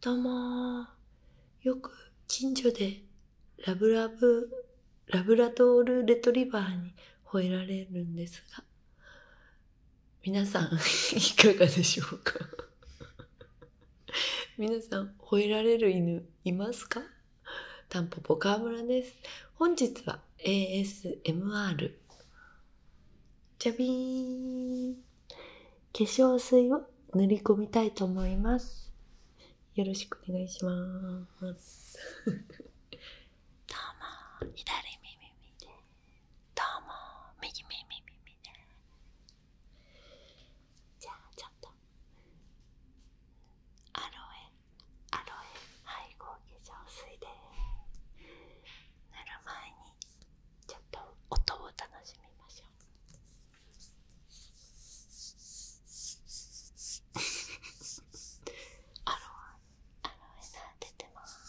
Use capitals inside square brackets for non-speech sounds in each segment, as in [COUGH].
どうもよく近所でラブラブ、ラブラドールレトリバーに吠えられるんですが、皆さん [LAUGHS] いかがでしょうか皆さん吠えられる犬いますかタンポポ川村です。本日は ASMR。じャビーん。化粧水を塗り込みたいと思いますよろしくお願いしますどうも左耳見て。どうも右耳見て。じゃあちょっとアロエアロエ配合化粧水で塗る前にちょっと音を楽しみましょうアロアロエナ出てます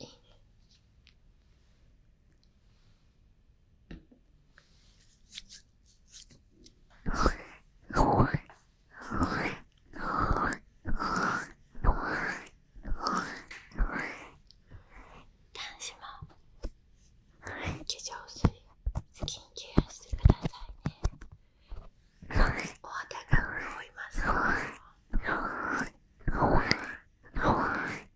いいねい、子い。化い、水い。キい。ケい。しい。くい。さいねお肌い。潤いい。い。すい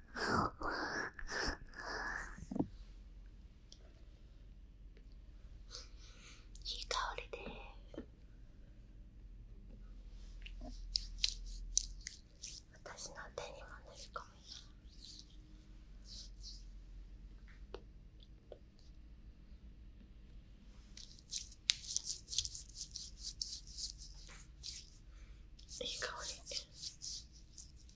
いい香りで私の手にも塗り込みいい香り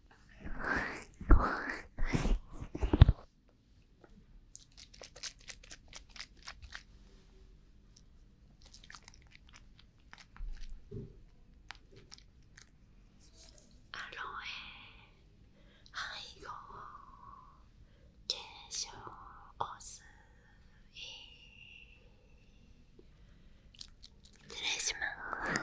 ロエ背後化粧水失礼します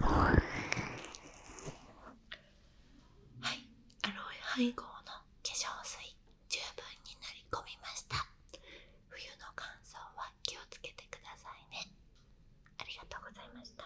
はいアロエ配合の化粧水十分になりこみました冬の乾燥は気をつけてくださいねありがとうございました